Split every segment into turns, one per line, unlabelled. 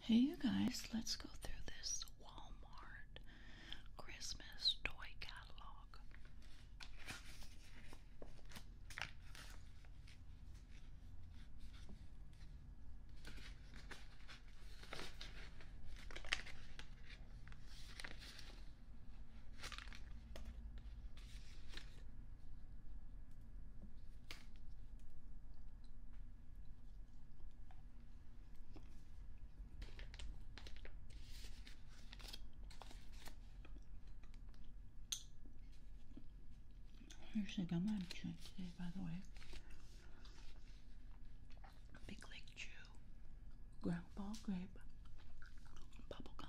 Hey, you guys, let's go through this Walmart Christmas toy catalog. Usually got my chewing today, by the way. Big Lake Chew, ground ball grape, bubblegum.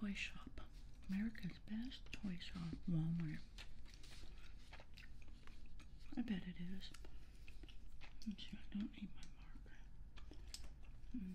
Toy shop. America's best toy shop, Walmart. I bet it is. don't need my marker. Hmm.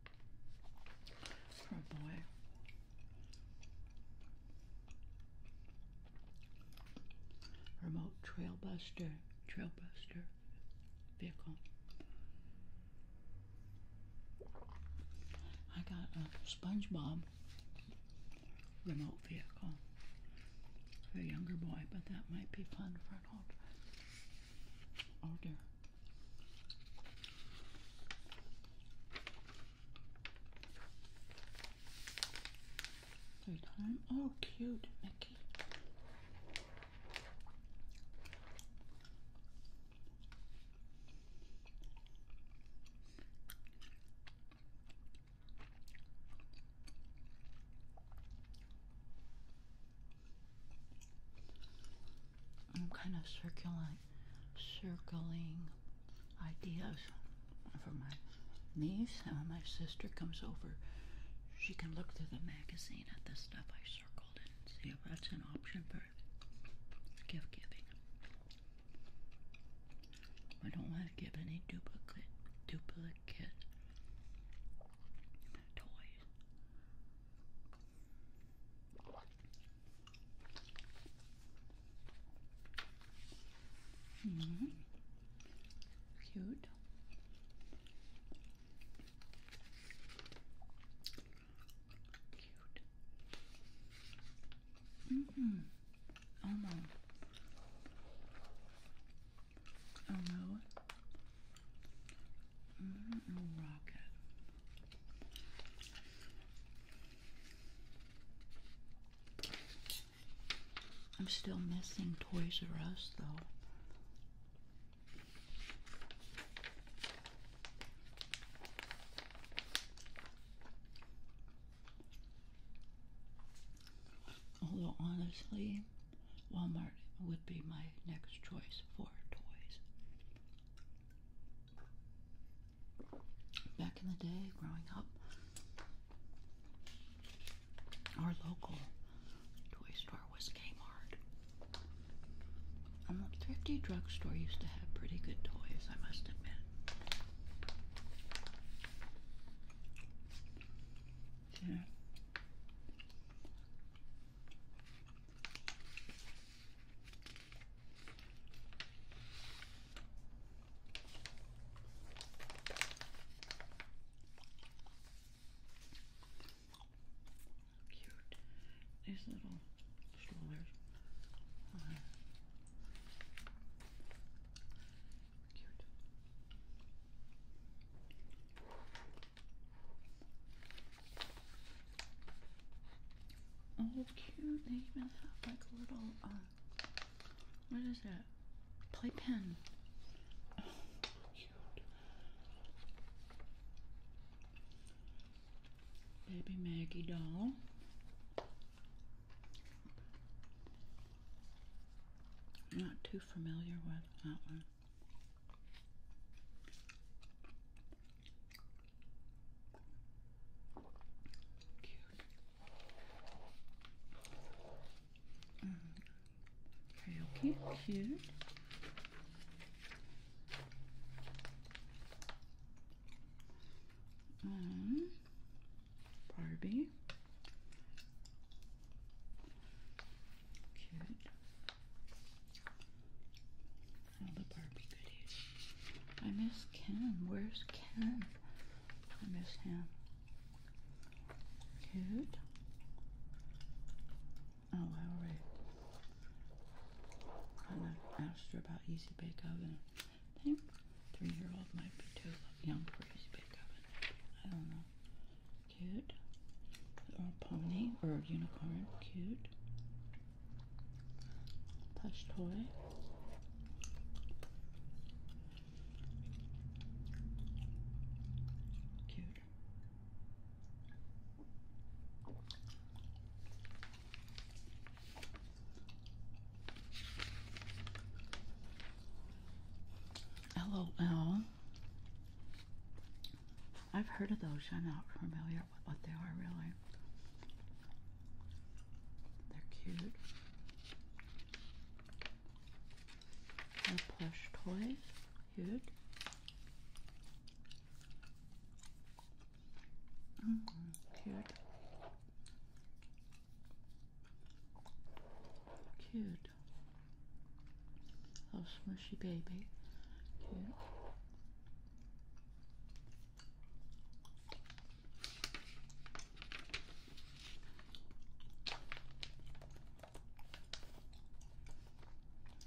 Oh boy. Remote trailbuster, trailbuster vehicle. I got a SpongeBob remote vehicle for a younger boy, but that might be fun for an old, older Third time. all oh, cute, Mickey. I'm kind of circling, circling ideas for my niece. And when my sister comes over, she can look through the magazine at the stuff I circled and see if that's an option for gift giving. I don't want to give any duplicate duplicate toys. Mm Cute. Cute. -hmm. Oh no. Oh no. Mm rocket. I'm still missing Toys R Us though. Although honestly, Walmart would be my next choice for toys. Back in the day, growing up, our local toy store was Kmart. And um, the thrifty store used to have pretty good toys, I must admit. Yeah. Cute. These little strollers. Uh, cute. Oh, cute. They even have like a little, uh, what is it? Playpen. Oh, cute. Baby Maggie doll. Not too familiar with that one. Cute. Mm. Um, Karaoke, cute. Mm. Barbie. Cute all the Barbie goodies. I miss Ken. Where's Ken? I miss him. Cute. Oh, I already I asked her about Easy Bake Oven. think three-year-old might be too young for Easy Bake Oven. I don't know. Cute. Or pony or unicorn. Cute plush toy. Cute. LOL. I've heard of those. I'm not familiar what, they are really. They're cute. They're plush toys. Cute. Mm Cute. Cute. Little smushy baby. Cute.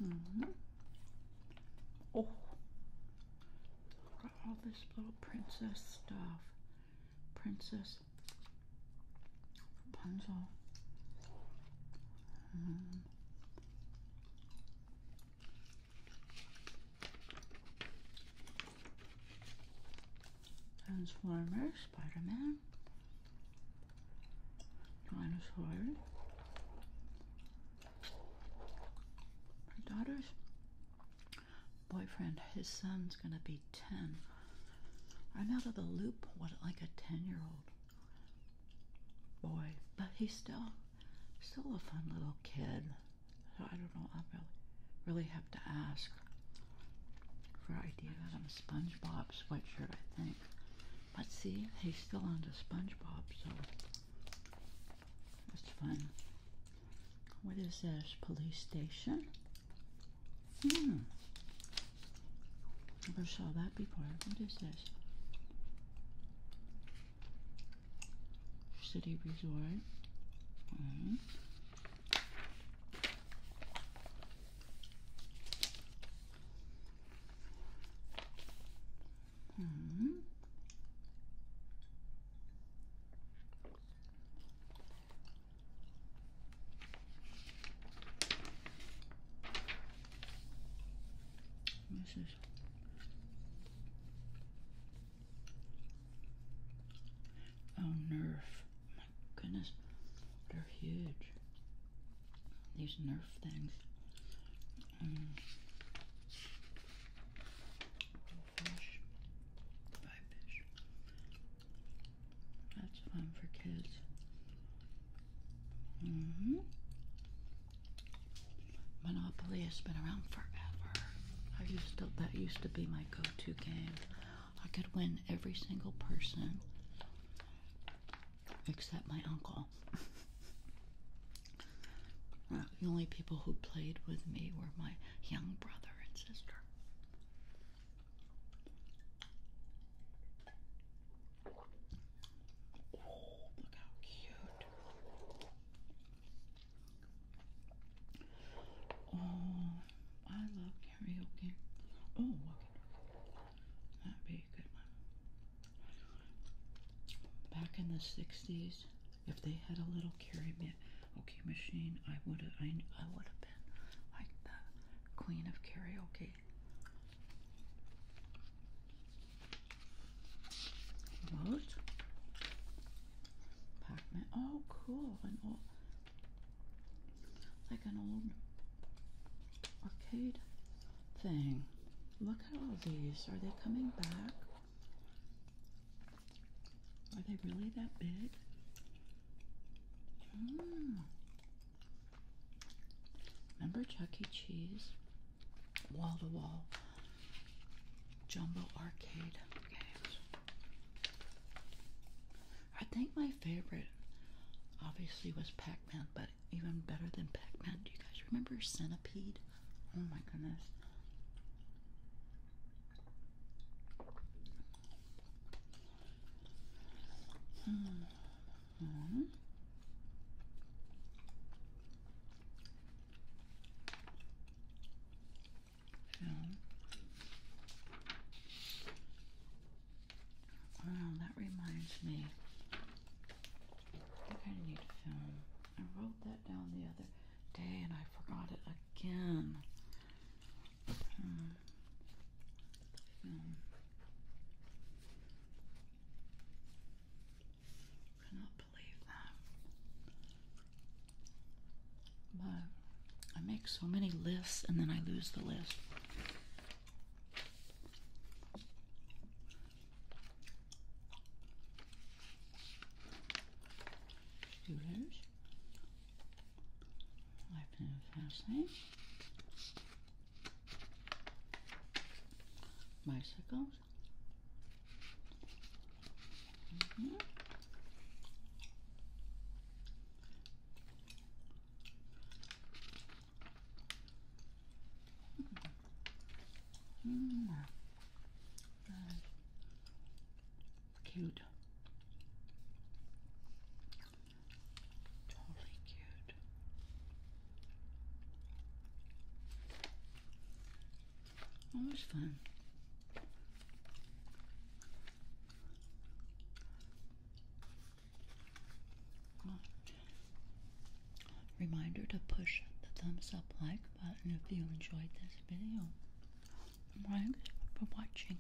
Mm-hmm. Oh. all this little princess stuff. Princess Rapunzel. Mm-hmm. Transformer, Spider-Man, Dinosaur. Her daughter's boyfriend, his son's gonna be 10. I'm out of the loop, what, like a 10 year old boy, but he still still a fun little kid. So I don't know. I really, really have to ask for ideas. I'm a SpongeBob sweatshirt, I think. But see, he's still onto SpongeBob, so it's fun. What is this? Police station? Hmm. Never saw that before. What is this? City Resort. Mm. Mm. This Oh, Nerf. My goodness. They're huge. These Nerf things. Mm. That's fun for kids. hmm Monopoly has been around forever. I used to that used to be my go-to game. I could win every single person except my uncle. Uh, the only people who played with me were my young brother and sister. Oh, look how cute. Oh, I love karaoke. Oh, That'd be a good one. Back in the 60s, if they had a little karaoke machine, I would have I would have been like the queen of karaoke. What? Pac-Man. Oh, cool. An old, like an old arcade thing. Look at all these. Are they coming back? Are they really that big? Hmm. Remember Chuck E. Cheese? wall to wall jumbo arcade games. I think my favorite obviously was Pac-Man, but even better than Pac-Man, do you guys remember Centipede? Oh my goodness. Hmm. Hmm. Wow, that reminds me. I think I need film. I wrote that down the other day and I forgot it again. Hmm. I cannot believe that. But I make so many lists and then I lose the list. Students, life and fasting, bicycles, Mm -hmm. Mm. That's cute. Totally cute. Always fun. Reminder to push the thumbs up like button if you enjoyed this video. Thanks for watching.